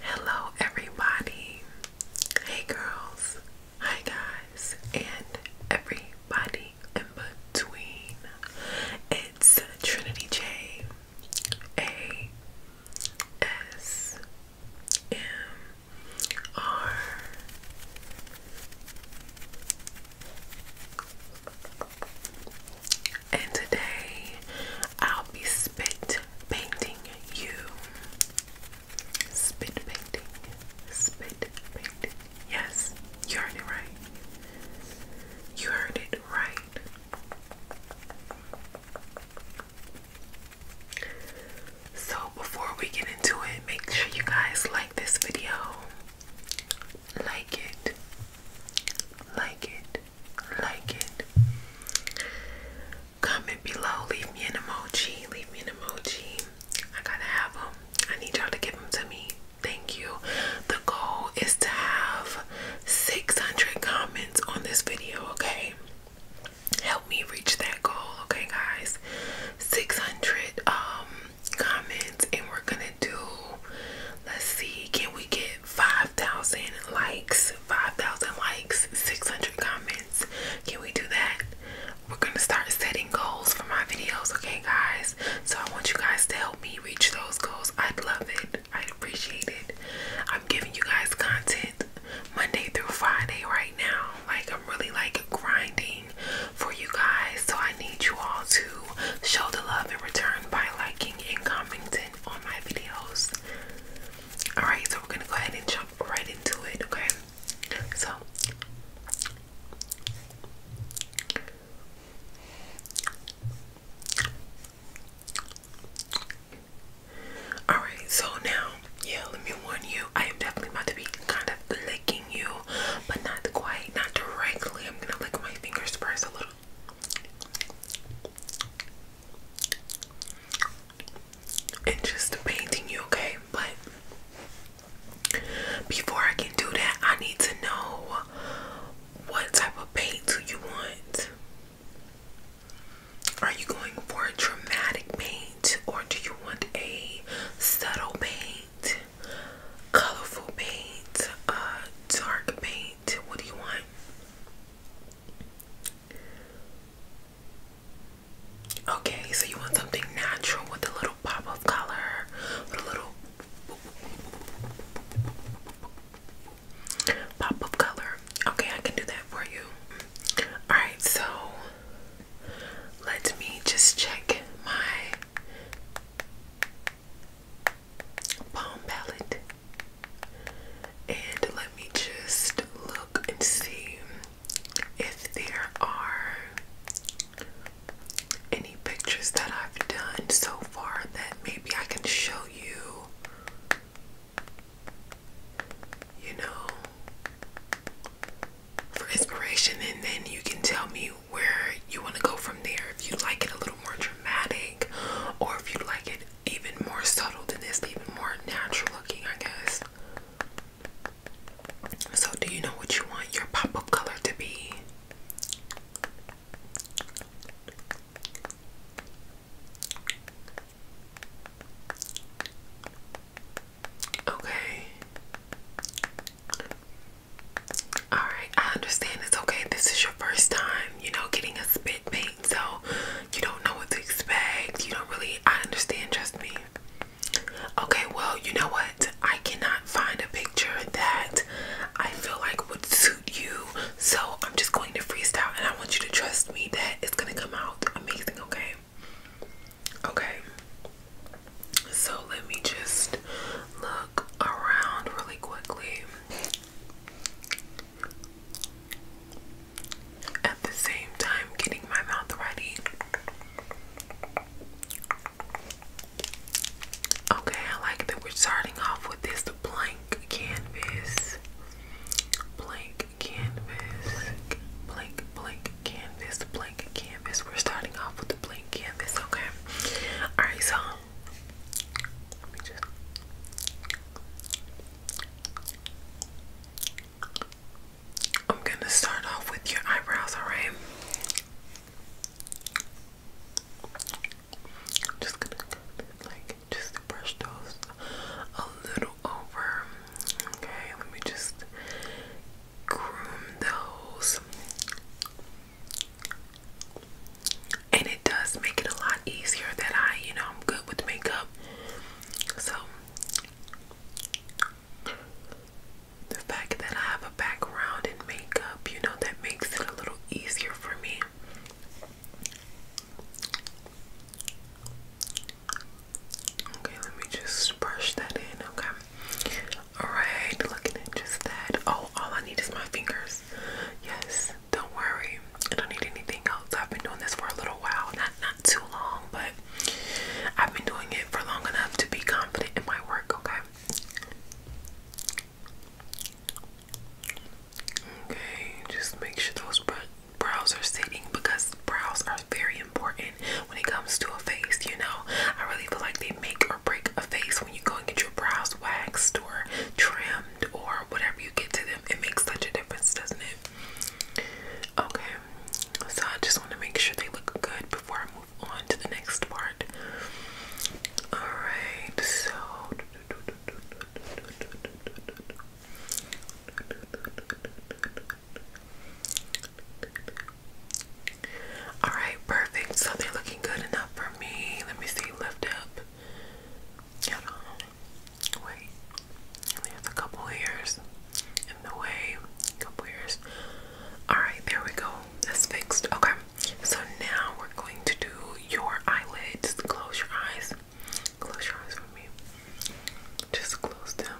Hello, everybody. Hey, girls. Hi, guys. And everybody in between. It's Trinity J. A. S. M. R and today I'll be spit painting you. Spit painting, spit painting. Yes, you heard it right. You heard it right. So, before we get into it, make sure you guys like this video. Like it. Like it like it. Comment below, leave me an emoji, leave me an emoji. I gotta have them. I need y'all to give them to me. Thank you. The goal is to have 600 comments on this video, okay? Help me reach that goal, okay, guys? 600 um comments, and we're gonna do. Let's see, can we get 5,000 likes, 5,000 likes, 600 comments. Can we do that? We're going to start setting goals for my videos, okay, guys? So I want you guys to help me reach those goals. I'd love it. I'd appreciate it. I'm giving you guys content Monday through Friday right now. Like, I'm really like grinding for you guys. So I need you all to show the love in return by liking and commenting on my videos. Alright, so we're gonna go ahead and jump right into it, okay? So Alright, so now, yeah, let me warn you, I am definitely about to be kind of licking you, but not quite, not directly. I'm gonna lick my fingers first a little and just painting you, okay? But before I can do that, I need to know what type of paint do you want? Are you going for a dramatic paint or do you want a subtle paint, colorful paint, uh, dark paint? white. What do you want? Okay, so you want something natural with a little pop of color, a little pop of color. Okay, I can do that for you. Alright, so let me just check my palm palette. And let me just look and see if there are any pictures that I've done so far that maybe I can show you. You know, for inspiration, and then you can tell me where you want to go from there if you like it a little more dramatic, or if you like it even more subtle than this, even more natural looking, I guess. So, do you know what you want your pop up color to be? Okay. Alright, I understand it's okay. This is your first time you know, getting a spit paint, so you don't know what to expect. You don't really, I understand, trust me. Okay, well, you know what? I cannot find a picture that I feel like would suit you, so I'm just going to freestyle and I want you to trust me that it's gonna come out amazing, okay? Okay, so let me just look around really quickly. At the same time, getting my mouth ready. Okay, I like that we're starting off with this blank canvas. Blank canvas. Blank, blank canvas. Blank canvas. We're starting off with the blank canvas, okay? Alright, so I'm gonna start off with your eyebrows, alright? I'm just gonna like just brush those a little over. Okay, let me just groom those and it does make it a lot easier that I, you know, I'm good with makeup. So the fact that I have a background in makeup, you know, that makes it a little easier for me. Okay, let me just brush that in. Okay. Alright, looking at just that. Oh, all I need is my fingers. Yes. Don't worry, I don't need anything else. I've been doing this for a little while, not not too long, but I've been doing it for long enough to be confident in my work, okay? Okay, just make sure those brows are sitting because brows are very important when it comes to a face, you know. I really feel like they make or break a face when you go and get your brows waxed or trimmed or whatever you get to them. It makes such a difference, doesn't it? Okay, so I just want to make sure they look good before I move on to the next part. Alright, so. All right, perfect. So they're looking good enough for me. Let me see, lift up. Wait. At a couple years in the way. couple years. Alright, there we go. That's fixed. Okay. So now we're going to do your eyelids. Close your eyes. Close your eyes for me. Just close them.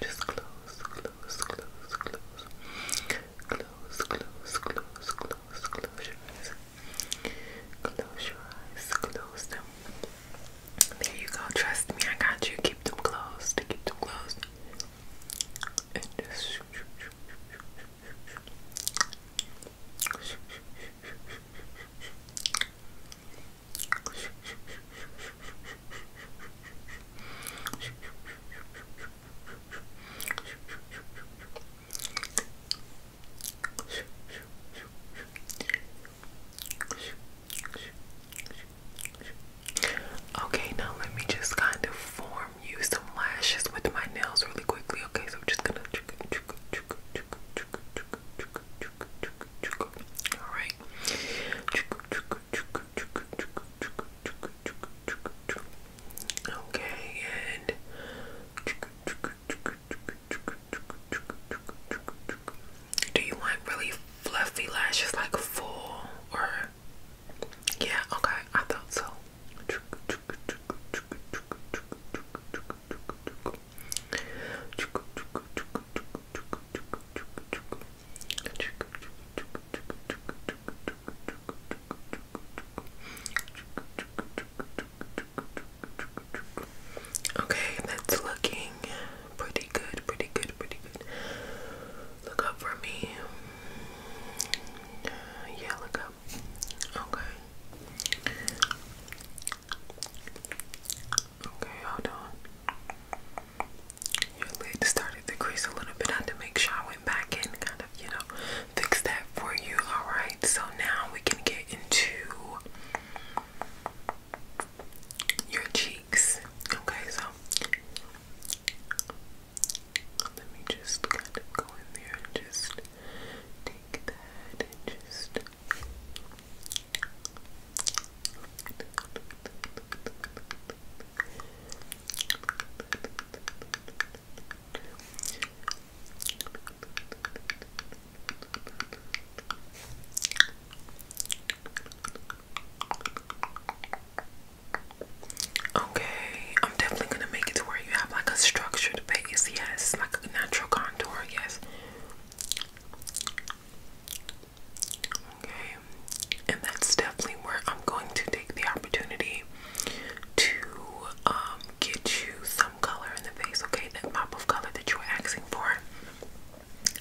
Just close, close, close, close. Close, close, close, close, close your eyes. Close your eyes, close them. There you go, trust me, I got you. Keep them closed, keep them closed. And just. Okay, now let me just kind of form you some lashes with my nails really quickly. Okay, so I'm just gonna. All right. Okay, and. Do you want really fluffy lashes like full or yeah, okay, I thought so. Okay, that's looking pretty good, pretty good, pretty good. Look up for me. Yeah, look up. Okay. Okay, hold on. Your lid started to crease a little bit. I had to make sure I went back in, you know, fix that for you. All right. So now we can get into your cheeks. Okay. So let me just go in there and just take that and just. Okay, I'm definitely gonna make it to where you have like a structured base, yes, like a natural contour, yes. Okay, and that's definitely where I'm going to take the opportunity to um, get you some color in the face, okay? That pop of color that you were asking for.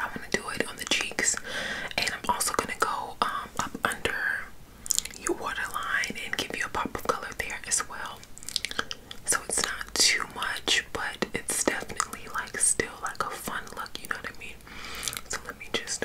i want to do it on the cheeks, and I'm also gonna go um, up under your waterline and give you a pop of color there as well. So it's not too much, but it's definitely like still like a fun look, you know what I mean? So let me just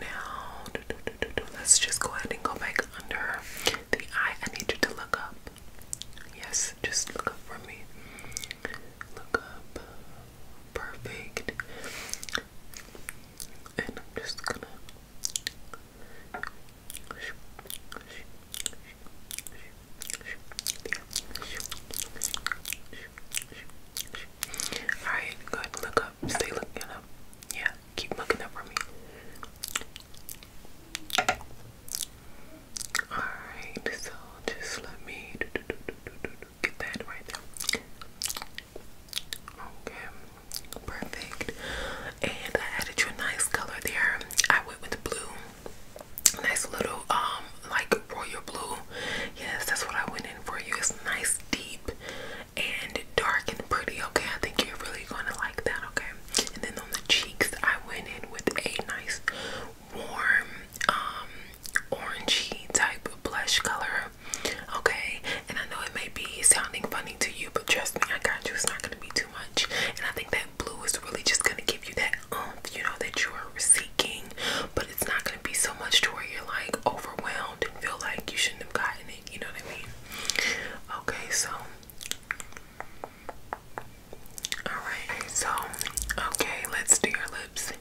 now. Let's just go ahead and go back under the eye. I need you to look up. Yes, just look up for me. Look up. Perfect. And I'm just gonna. Alright, good. Look Stay looking up. Yeah, keep looking up for me. Alright, so just let me do, do, do, do, do, do, get that right there. Okay, perfect. And I added you a nice color there. I went with blue. Nice little, um, like royal blue. Yes, that's what I went in for you. It's nice, deep and dark and pretty, okay? I think you're really gonna like that, okay? And then on the cheeks, I went in with a nice warm, um, orangey type blush color, okay? And I know it may be sounding funny to you, but trust me, I got you. It's not gonna be too much. And I think that blue is really just gonna give you that oomph, you know, that you are seeking, but it's not gonna be so much to where you're like overwhelmed and feel like you shouldn't have gotten it you know what I mean? Okay, so alright, so okay, let's do your lips.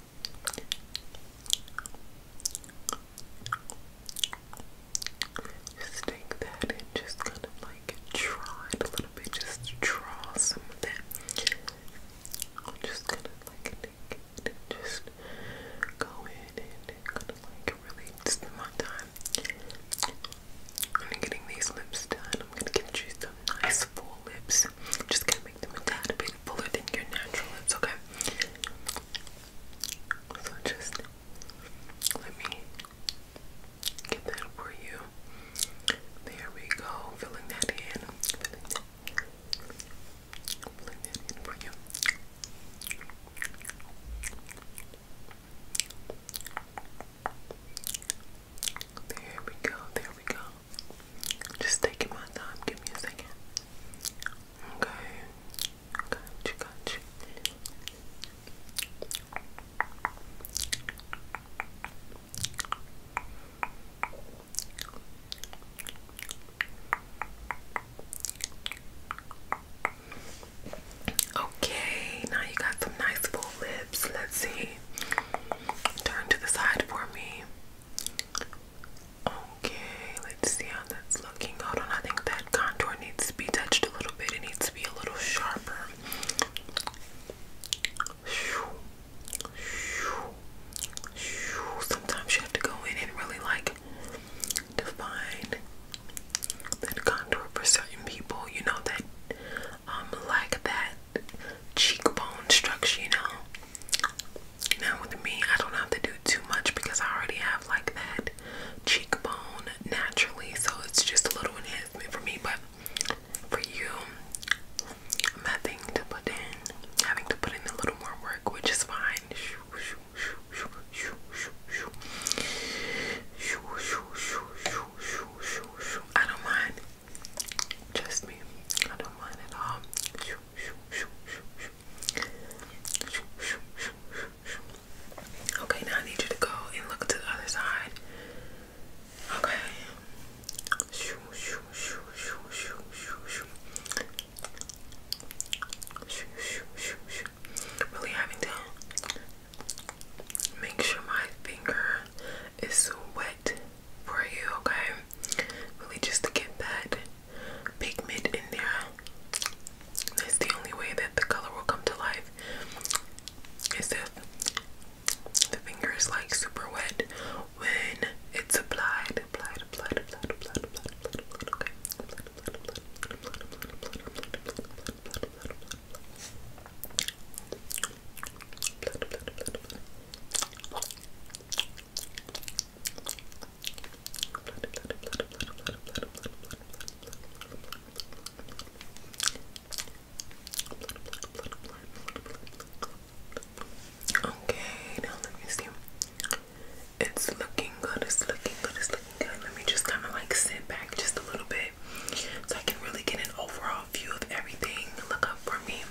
Just take that and just kind of like draw it a little bit, just draw some of that. I'm just gonna like and just go in and kind of like really spend my time on getting these lips done. I'm gonna get you some nice full lips. I'm just gonna make them a tad bit fuller than your natural lips, okay? So just let me get that for you. There we go. Filling that in. Filling that, filling that in for you. There we go, there we go. Just taking my time, give me a second. Okay. Gotcha, gotcha. Okay. Okay, now you got some nice full lips. Let's see. Turn to the side for me. Okay, let's see how that's looking. Hold on, that contour needs to be touched a little bit. It needs to be a little sharper. Sometimes you have to go in and really like define that contour for certain people, you know, that um like that cheekbone structure, you know. Now with me, I don't have to do too much because I already have like that cheekbone naturally, so it's just a little enhancement for me, but for you nothing to put in having to put in a little more work which is fine I don't mind. Trust me, I don't mind at all. Okay, now I need you to go and look to the other side. Okay. Really having to make sure my finger is wet for you, okay? Really just to get that pigment in there. That's the only way that the color will come to life. Is if the finger is like super wet when it's applied, applied, applied, applied, applied, applied, applied, okay? Okay, now let me see. It's looking good, it's looking good, it's looking good. Let me just kind of like sit back just a little bit so I can really get an overall view of everything. Look up for me.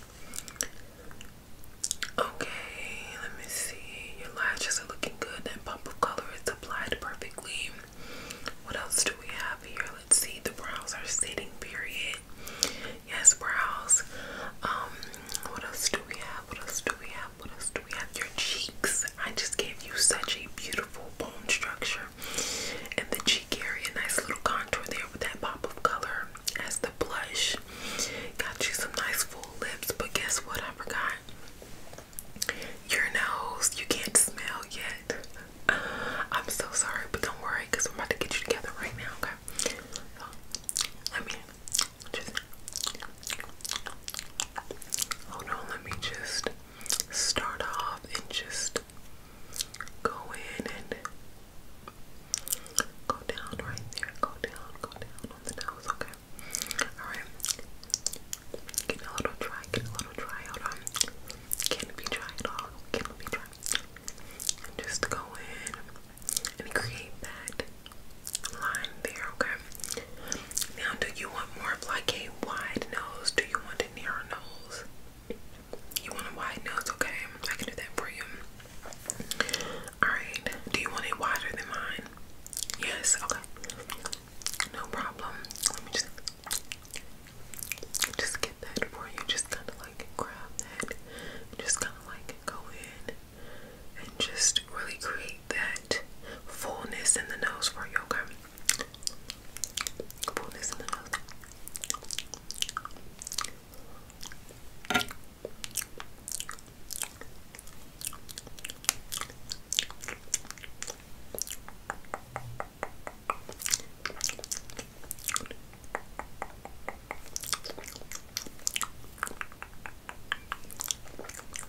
Okay, let me see. Your lashes are looking good. That bump of color is applied perfectly. What else do we have here? Let's see. The brows are sitting, period. Yes, brows. Um, what else do we have? What else do we have? What else do we have? Your cheeks. I just gave you such a beautiful bone structure. And the cheek area, nice little contour there with that pop of color as the blush. Got you some nice full lips, but guess what? I forgot your nose. You can't smell yet. I'm so sorry, but don't worry because I'm about to get you together right now, okay? let me just hold on, let me just start off and just go in and go down right there. Go down, go down on the nose, okay? Alright. Get a little dry, get a little dry, hold on. Can't be dry at all, can't be dry. And just go in and create that line there, okay? Now, do you want more of like a wide nose? Do you want a narrow nose? You want a wide nose, okay? I can do that for you. Alright, do you want it wider than mine? Yes, okay. No problem. Let me just just get that for you. Just kind of like grab that. Just kind of like go in and just really create that fullness in the nose for yoga. Fullness in the nose.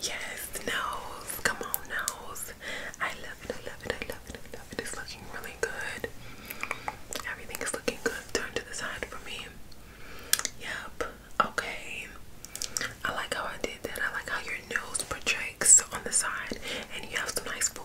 Yes, nose. Come on, nose. I love it. I love it. I love it. I love it. It's looking really good. Everything is looking good. Turn to the side for me. Yep. Okay. I like how I did that. I like how your nose projects on the side, and you have some nice full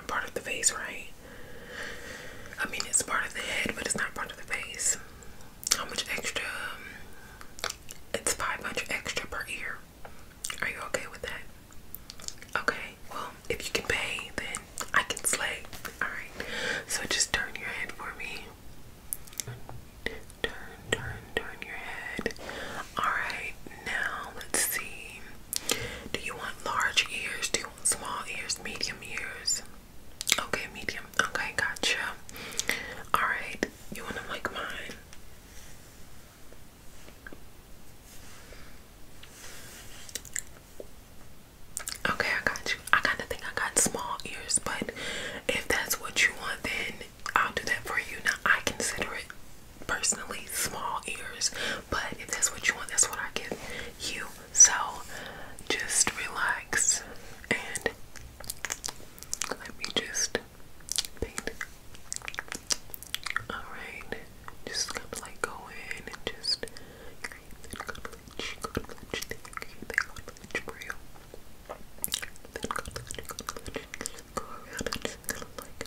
not part of the face, right? I mean, it's part of the head, but it's not part of the face. How much extra? Um, it's 500 extra per ear. Are you okay with that? Okay, well, if you can pay, then I can slay. Alright, so just turn your head for me. Turn, turn, turn your head. Alright, now let's see. Do you want large ears? Do you want small ears? Medium ears? Okay, medium. Okay, gotcha. Alright, you want to like mine? Okay, I got you. I kind of think I got small ears, but if that's what you want, then I'll do that for you. Now, I consider it personally small ears, but if that's what you want, that's what I give you. So just relax and let me just paint. Alright, just kind of like go in and just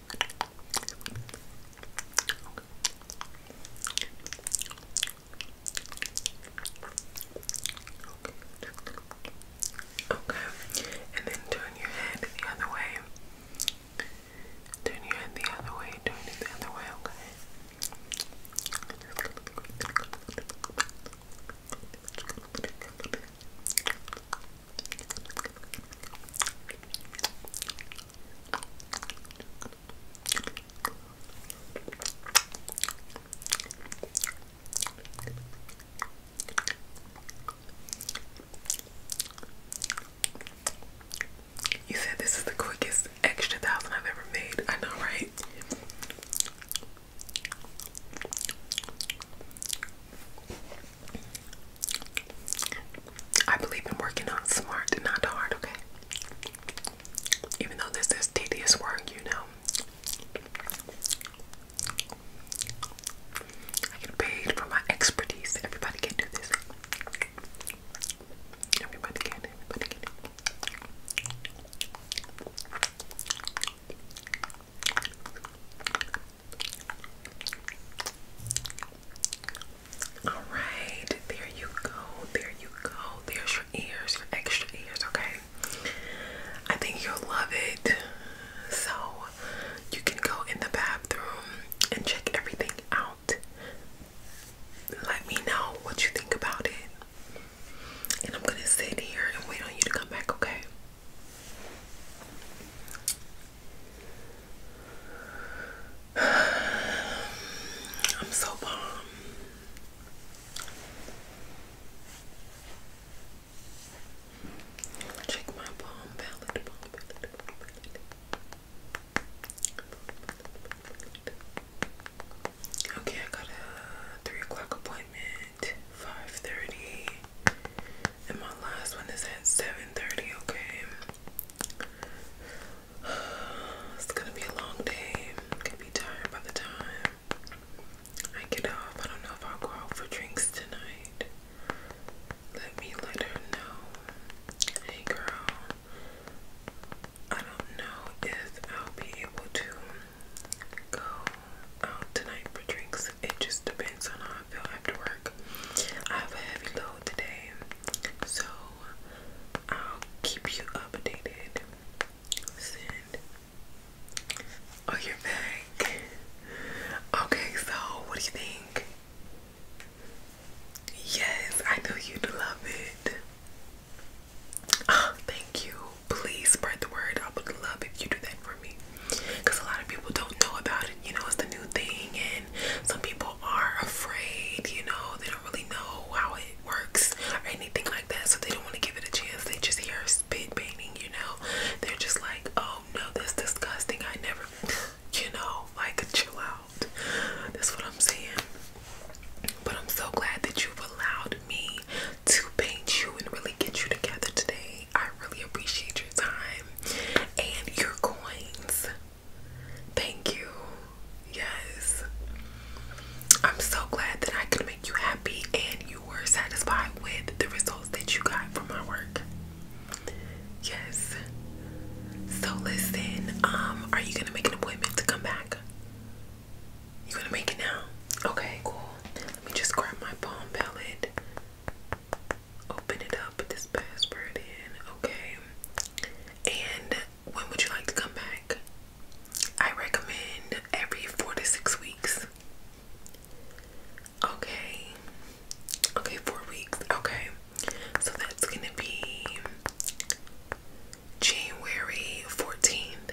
Okay, and then turn your head the other way. Turn your head the other way, turn it the other way, okay? You said this is the quickest extra thousand I've ever made. I know, right? I believe in working on smart not hard, okay? Even though this is tedious work, you know. I get paid for my expertise. Everybody can do this. Everybody can, everybody can. All right, there you go, there you go. There's your ears, your extra ears, okay? I think you'll love it. So, you can go in the bathroom and check everything out. Let me know what you think about it. And I'm gonna sit here and wait on you to come back, okay? I'm so bomb. Check my palm palette. Okay, I got a three o'clock appointment, five thirty, and my last one is at seven thirty. Okay. It's gonna be a long day. I'm be tired by the time I get off. I don't know if I'll go out for drinks tonight. Let me let her know. Hey girl, I don't know if I'll be able to go out tonight for drinks. It just depends on how I feel after work. I have a heavy load today. So I'll keep you updated. Send. Oh, you're Okay, so what do you think? Yes, I know you'd love it. Oh, thank you. Please spread the word. I would love if you do that for me. Because a lot of people don't know about it. You know, it's the new thing some people are afraid, you know, they don't really know how it works or anything like that, so they don't want to give it a chance. They just hear spit painting, you know, they're just like, oh no, this is disgusting. I never, you know, like chill out. That's what I'm saying. But I'm so glad that you've allowed me to paint you and really get you together today. I really appreciate your time and your coins. Thank you. Yes. I'm so glad that I could make you happy and you were satisfied with the results that you got from my work. Yes. So listen, um, are you gonna make an appointment to come back? You gonna make it now? Okay, cool. Let me just grab my palm palette open it up, put this password in, okay? And when would you like to come back? I recommend every four to six weeks. Okay. Okay, four weeks. Okay. So that's gonna be January 14th.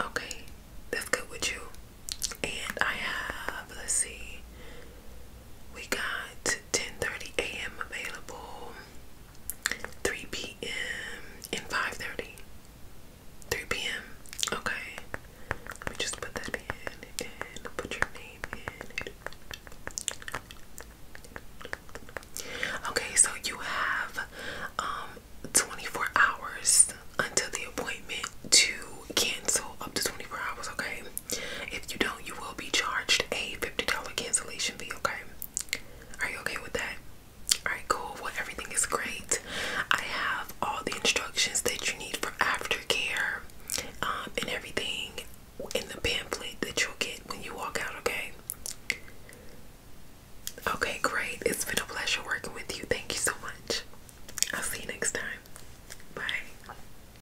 Okay, that's good with you. And I have, let's see, we got 10:30 a.m. available, 3 p.m. and 5:30. 3 p.m. Okay. Let me just put that in and put your name in. Okay, so you have um 24 hours until the appointment to cancel up to 24 hours, okay? If you don't, you will be charged a $50 cancellation fee, okay? Are you okay with that? Alright, cool. Well, everything is great. I have all the instructions that you need for aftercare um, and everything in the pamphlet that you'll get when you walk out, okay? Okay, great. It's been a pleasure working with you. Thank you so much. I'll see you next time. Bye.